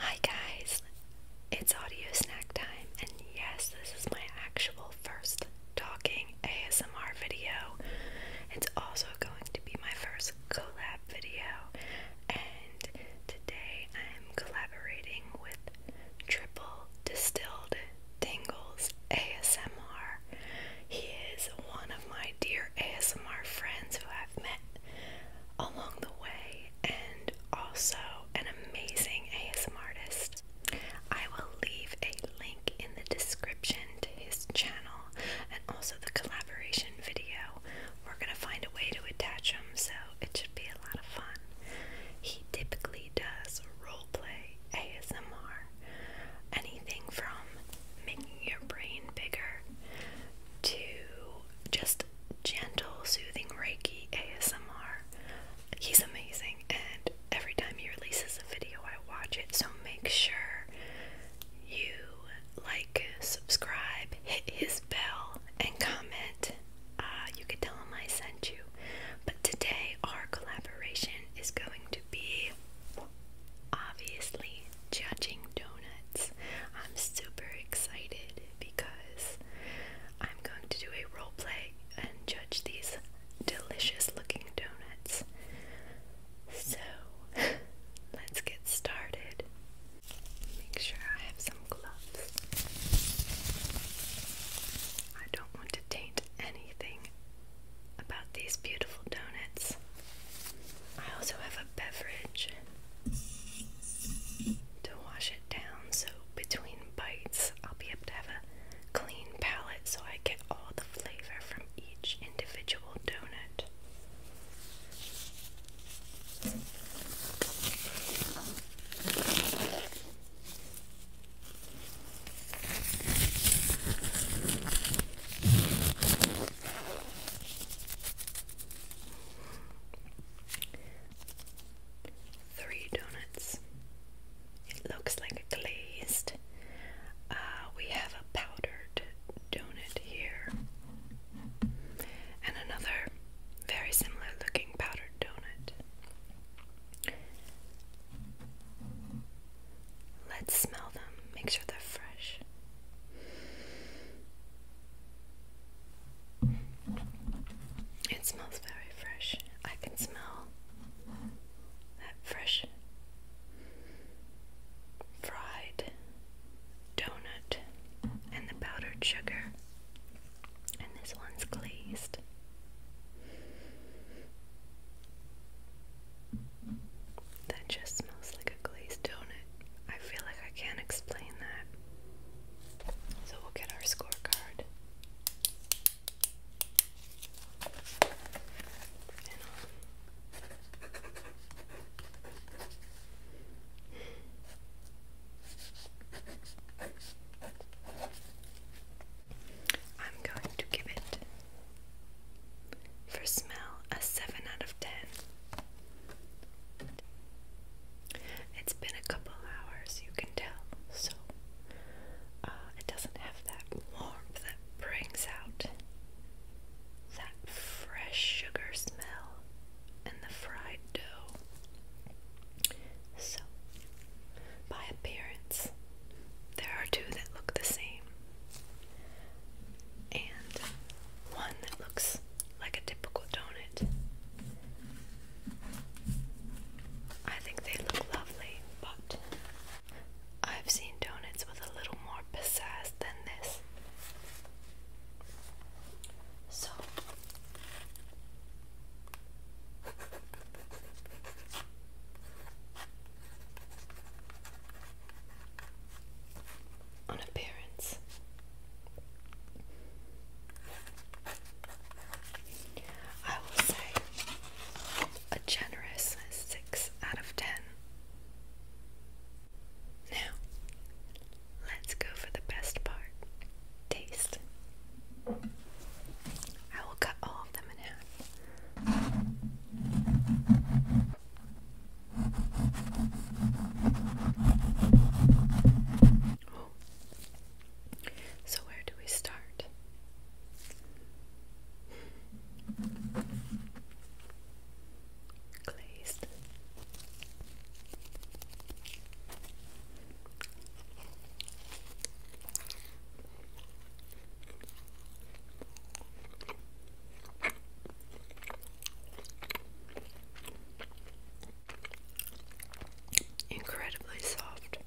Hi guys, it's audio snack time, and yes, this is my actual first talking ASMR video. It's also going to be my first collab video, and today I'm collaborating with Triple Distilled Dingles ASMR. He is one of my dear ASMR friends who I've met along the way and also an amazing ASMR artist. I will leave a link in the description to his channel and also the collaboration video. We're going to find a way to attach them so it should be a lot of fun. He typically does roleplay ASMR. Anything from making your brain bigger to just gentle, soothing Reiki ASMR. He's amazing, and every time he releases a video, I watch it. So make sure you like, subscribe, hit his bell, and comment. Uh, you could tell him I sent you. But today, our collaboration is going to be obviously judging donuts. I'm super excited because I'm going to do a role play and judge these delicious looking donuts. So let's get started. Make sure I have some gloves. I don't want to taint anything about these beautiful donuts. I also have a beverage to wash it down, so between bites, I'll be able to have a clean palette so I get all the flavor from each individual donut. Three donuts. It looks like a glazed. Uh, we have a powdered donut here, and another very similar looking powdered donut. Let's smell them, make sure they're fresh. It smells very fresh. I can smell that fresh fried donut and the powdered sugar. And this one's glazed. That just smells like a glazed donut. I feel like I can't explain that. So we'll get our scorecard. I'm going to give it for smell a 7 out of 10. It's been a couple hours, you can tell, so uh, it doesn't have that warmth that brings out that fresh sugar smell and the fried dough. So, by appearance. There are two that look the same, and one that looks like a typical donut. I think they look lovely, but I've seen donuts with a little more pizzazz than this. So, on appearance. I will say a generous 6 out of 10. Now, let's go for the best part taste. I will cut all of them in half. So, where do we start? Glazed. Incredibly soft.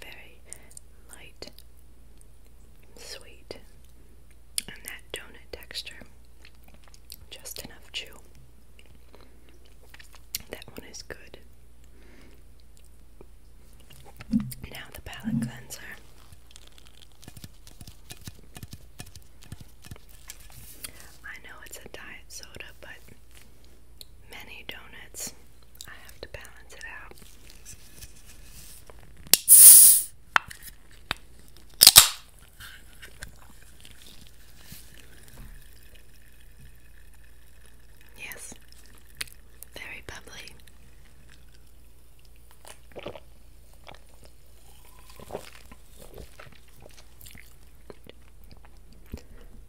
Very light, sweet, and that donut texture. Just enough chew. That one is good. Now the palette cleanser. I know it's a diet soda, but many donuts. I have to balance it out. Yes, very bubbly.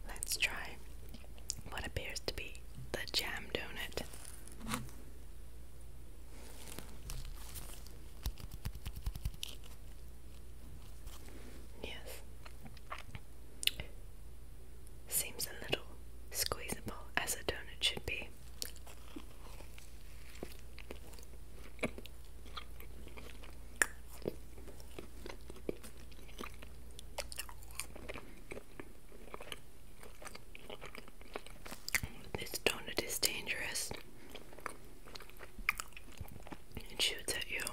Let's try what appears to be the jam donut. Yes, Seems a little squeezable as a donut should be. This donut is dangerous. It shoots at you.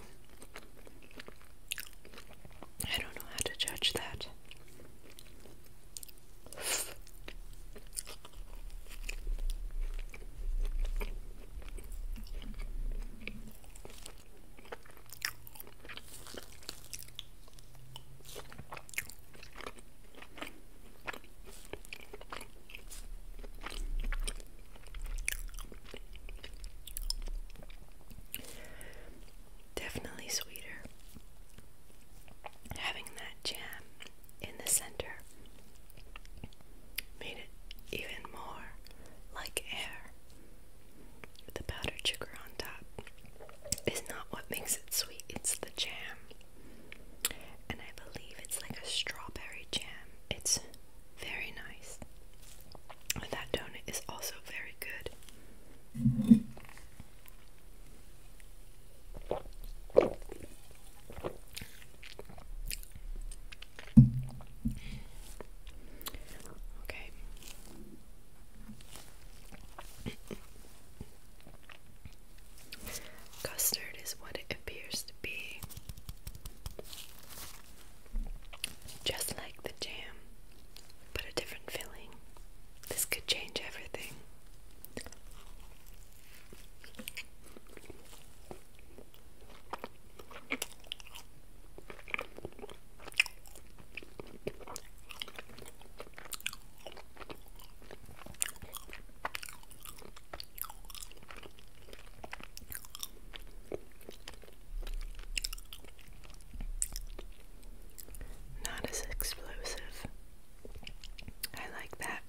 I don't know how to judge that. Definitely sweeter. Having that jam in the center made it even more like air. The powdered sugar on top is not what makes it sweet, it's the jam. And I believe it's like a strawberry jam. It's very nice. That donut is also very good. Okay. Custard is what it appears to be. Just like the jam, but a different filling. This could change everything. Not as explosive. I like that.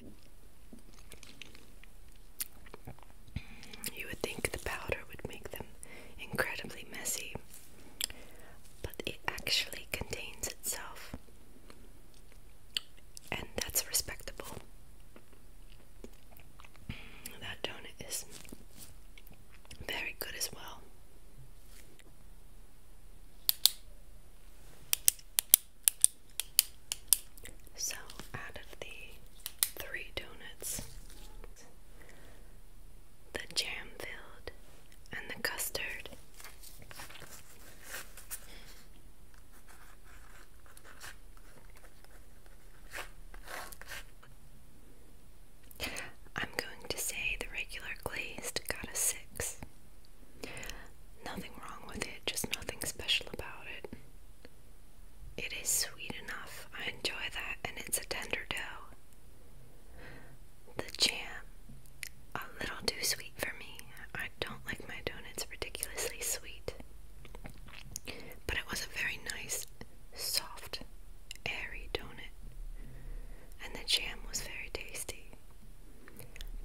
You would think the powder would make them incredibly messy, but it actually contains itself, and that's respectable. That donut is very good as well. So, out of the three donuts, the jam filled and the custard. I'm going to say the regular glazed got a six. Nothing wrong with it, just nothing special about it. It is sweet enough. I enjoy that, and it's a tender dough. The jam, a little too sweet for me. I don't like my donuts ridiculously sweet. But it was a very nice, soft, airy donut, and the jam was very tasty.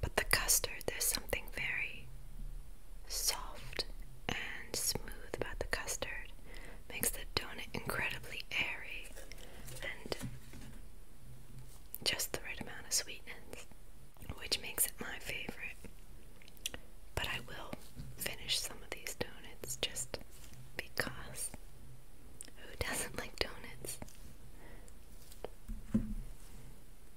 But the custard, there's something very soft and smooth about the custard makes the donut incredibly airy and just the right amount of sweetness, which makes it my favorite. But I will finish some of these donuts just because who doesn't like donuts?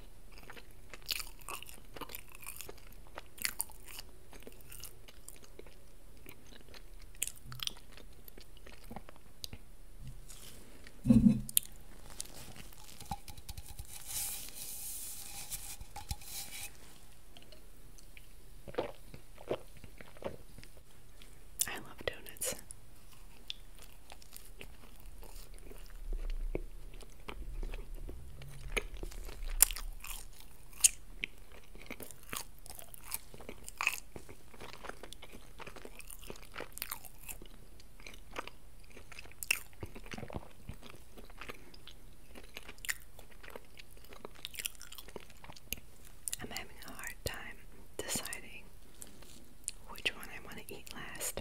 I love donuts. I'm having a hard time deciding which one I want to eat last.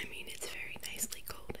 I mean, it's very nicely coated.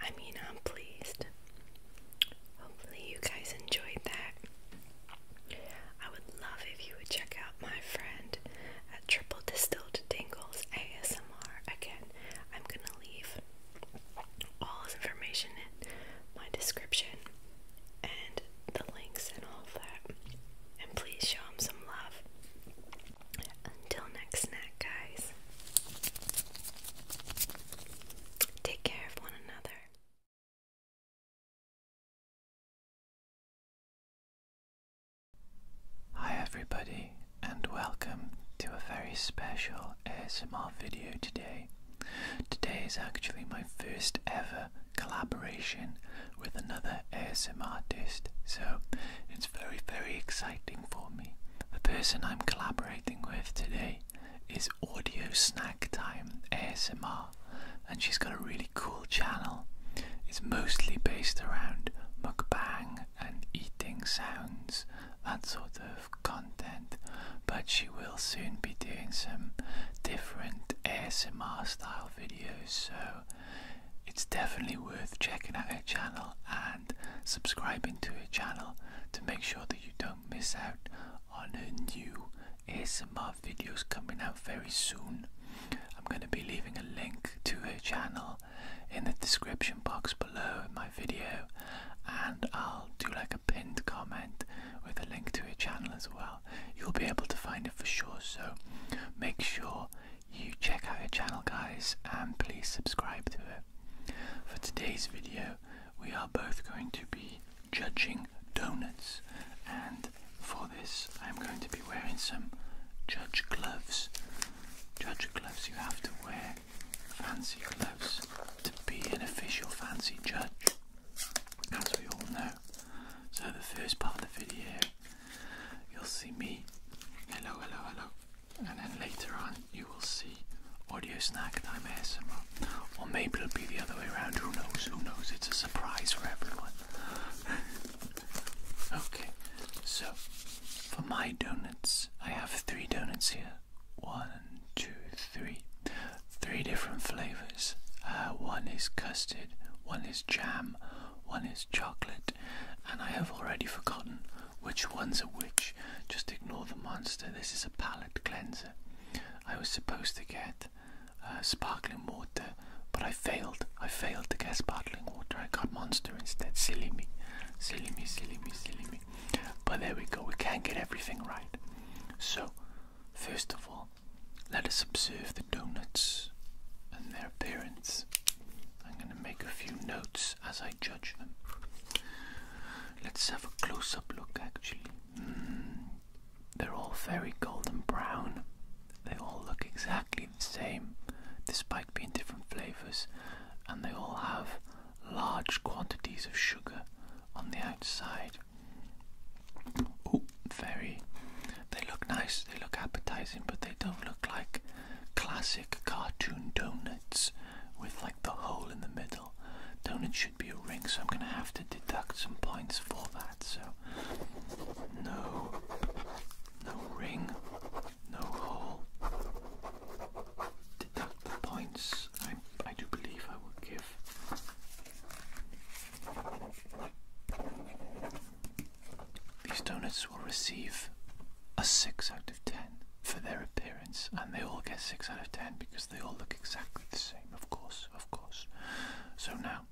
I mean, I'm pleased. Hopefully, you guys enjoyed that. I would love if you would check out my friend at Triple Distilled Dingles ASMR. Again, I'm gonna leave all his information in my description and the links and all of that. And please show him some love. Until next snack, guys. Take care of one another. Hi, everybody, and welcome to a very special ASMR video today. Today is actually my first ever collaboration with another ASMR artist, so it's very, very exciting for me. The person I'm collaborating with today is Audio Snack Time ASMR, and she's got a really cool channel. It's mostly based around mukbang and eating sounds, that sort of content, but she will soon be doing some different ASMR style videos, so it's definitely worth checking out her channel and subscribing to her channel to make sure that you don't miss out on her new ASMR videos coming out very soon. I'm going to be leaving a link to her channel in the description box below my video and I'll do like a pinned comment with a link to her channel as well. You'll be able to find it for sure so make sure you check out her channel guys and please subscribe to it. For today's video, we are both going to be judging donuts, and for this, I'm going to be wearing some judge gloves. Judge gloves, you have to wear fancy gloves to be an official fancy judge, as we all know. So, the first part of the video, you'll see me. Hello, hello, hello and then later on you will see audio snack time ASMR. Or maybe it'll be the other way around, who knows, who knows, it's a surprise for everyone. okay, so for my donuts, I have three donuts here. One, two, three. Three different flavors. Uh, one is custard, one is jam, one is chocolate, and I have already forgotten which one's a which. Just ignore the monster. This is a palate cleanser. I was supposed to get uh, sparkling water, but I failed. I failed to get sparkling water. I got monster instead. Silly me. Silly me, silly me, silly me. But there we go. We can't get everything right. So, first of all, let us observe the donuts and their appearance. I'm going to make a few notes as I judge them. Let's have a close up look actually. Mm, they're all very golden brown. They all look exactly the same despite being different flavours, and they all have large quantities of sugar on the outside. Oh, very. They look nice, they look appetizing, but they don't look like classic cartoon donuts with like the hole in the middle. Donut should be a ring, so I'm gonna have to deduct some points for that. So no, no ring, no hole. Deduct the points. I I do believe I will give. These donuts will receive a 6 out of 10 for their appearance, and they all get 6 out of 10 because they all look exactly the same, of course, of course. So now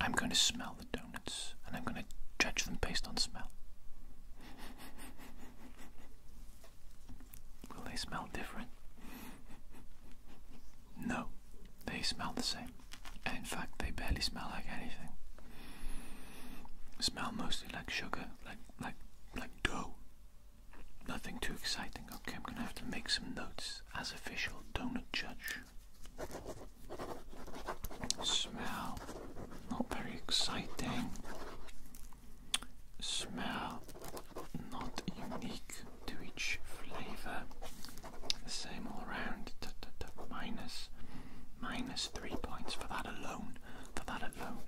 I'm going to smell the donuts and I'm going to judge them based on smell. Will they smell different? No, they smell the same. And in fact, they barely smell like anything. Smell mostly like sugar, like like, like dough. Nothing too exciting. Okay, I'm gonna have to make some notes as official donut judge. Smell, not very exciting. Smell, not unique to each flavor. same all round. minus, minus three points for that alone. For that alone.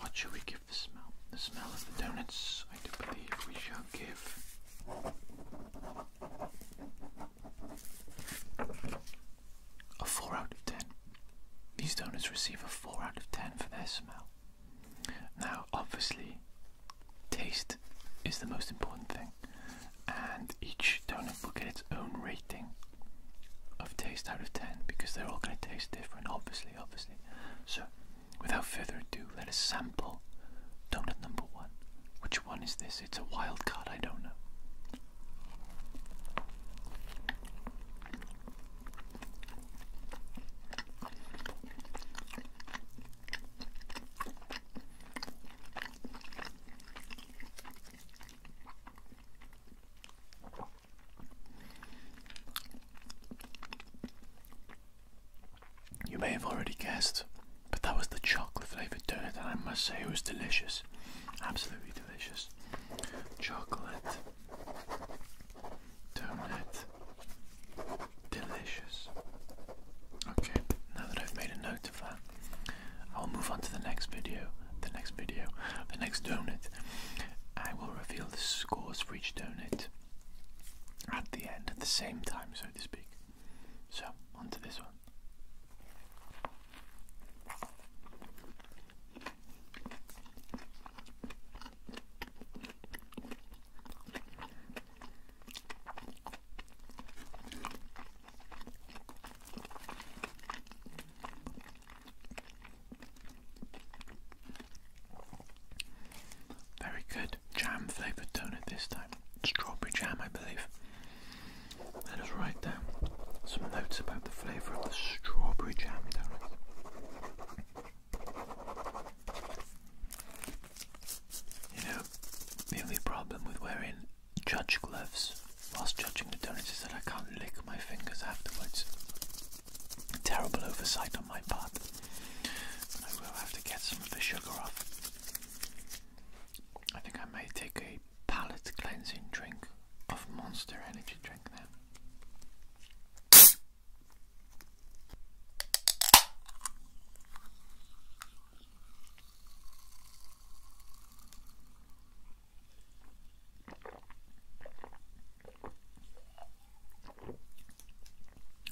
What shall we give the smell? The smell of the donuts, I do believe we shall give. A 4 out of 10. These donuts receive a 4 out of 10 for their smell. Now, obviously, taste is the most important thing, and each donut will get its own rating of taste out of 10 because they're all going to taste different, obviously, obviously. So, without further ado, let us sample donut number one. Which one is this? It's a wild card, I don't know. You may have already guessed, but that was the chocolate flavoured donut, and I must say it was delicious. Absolutely delicious. Chocolate donut. Delicious. Okay, now that I've made a note of that, I'll move on to the next video. The next video. The next donut. I will reveal the scores for each donut at the end, at the same time, so to speak. So, on to this one. Very good jam flavoured donut this time. Strawberry jam, I believe. Let us write down some notes about the flavour of the strawberry jam donut. You know, the only problem with wearing judge gloves Whilst judging the donuts is that I can't lick my fingers afterwards. terrible oversight on my part. I will have to get some of the sugar off. I think I may take a palate cleansing drink of Monster Energy drink now.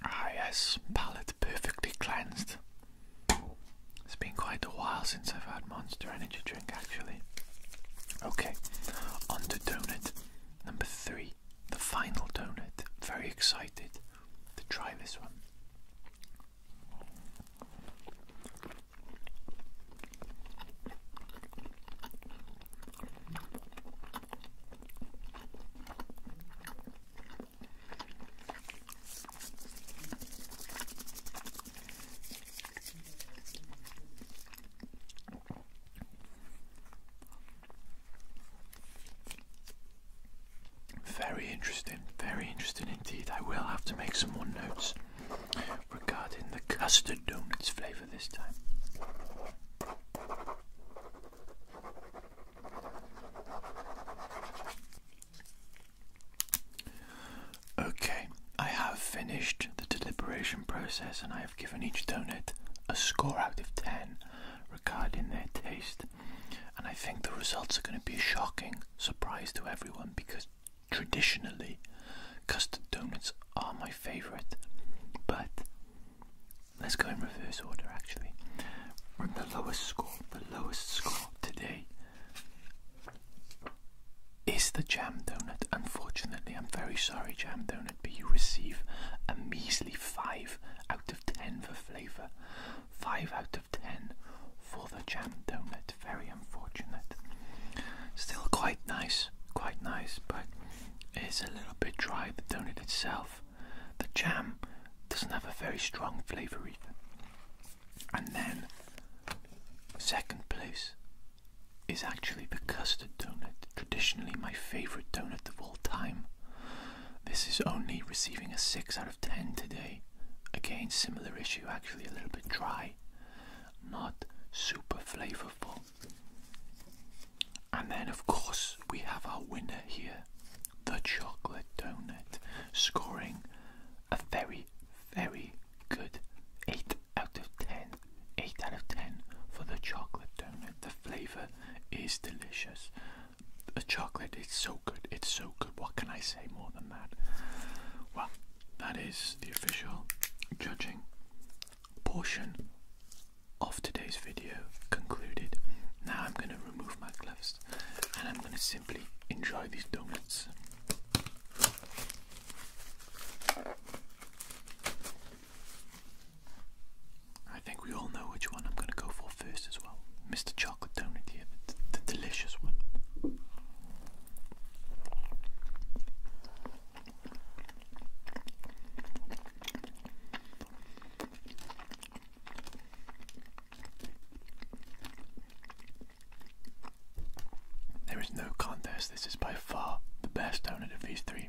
Ah, yes, palate perfectly cleansed. It's been quite a while since I've had Monster Energy drink, actually. Okay, on to donut number three, the final donut. Very excited to try this one. Very interesting, very interesting indeed. I will have to make some more notes regarding the custard donuts flavour this time. Okay, I have finished the deliberation process and I have given each donut a score out of 10 regarding their taste. And I think the results are going to be a shocking surprise to everyone because Traditionally, custard donuts are my favourite, but let's go in reverse order actually. From the lowest score, the lowest score today is the jam donut. Unfortunately, I'm very sorry, jam donut, but you receive a measly 5 out of 10 for flavour, 5 out of 10 for the jam donut. Very unfortunate. Still quite nice quite nice, but it's a little bit dry, the donut itself. The jam doesn't have a very strong flavour either. And then, second place is actually the custard donut, traditionally my favourite donut of all time. This is only receiving a 6 out of 10 today. Again, similar issue, actually a little bit dry, not super flavorful. And then, of course, we have our winner here the chocolate donut, scoring a very, very good 8 out of 10. 8 out of 10 for the chocolate donut. The flavour is delicious. The chocolate is so good, it's so good. What can I say more than that? Well, that is the official judging portion of today's video concluded. Now I'm going to remove my gloves and I'm going to simply enjoy these donuts. I think we all know which one I'm going to go for first as well. Mr. Chocolate Donut here, the, the delicious one. There is no contest. This is by far the best donut of these three.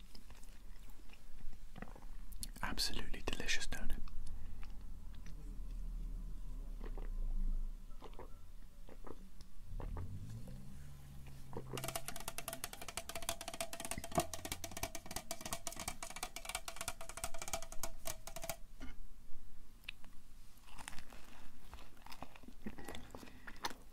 Absolutely delicious, don't it?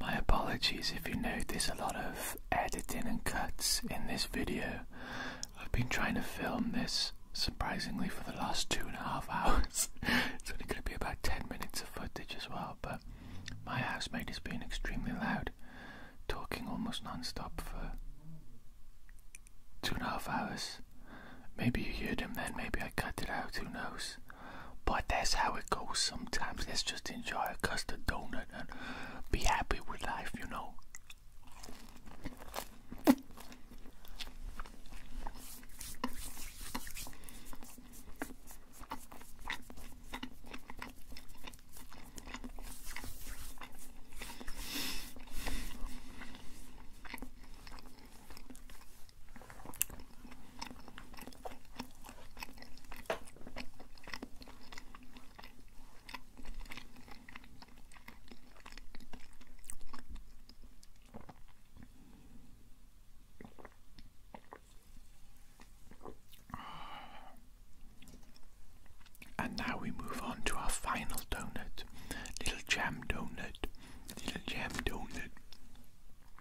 My apologies if you notice a lot of editing and cuts in this video. I've been trying to film this surprisingly for the last two and a half hours. it's only going to be about 10 minutes of footage as well, but my housemate has been extremely loud, talking almost non stop for two and a half hours. Maybe you heard him then, maybe I cut it out, who knows. But that's how it goes sometimes. Let's just enjoy a custard donut and be happy with life, you know. And now we move on to our final donut, little jam donut, little jam donut.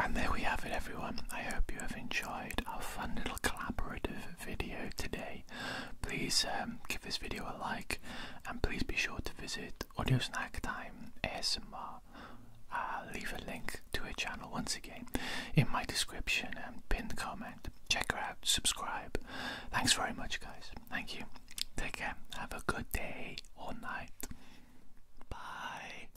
And there we have it, everyone. I hope you have enjoyed our fun little collaborative video today. Please um, give this video a like and please be sure to visit Audio Snack Time ASMR. I'll leave a link to her channel once again in my description and pinned comment. Check her out, subscribe. Thanks very much, guys. Thank you. Take care. Have a good day or night. Bye.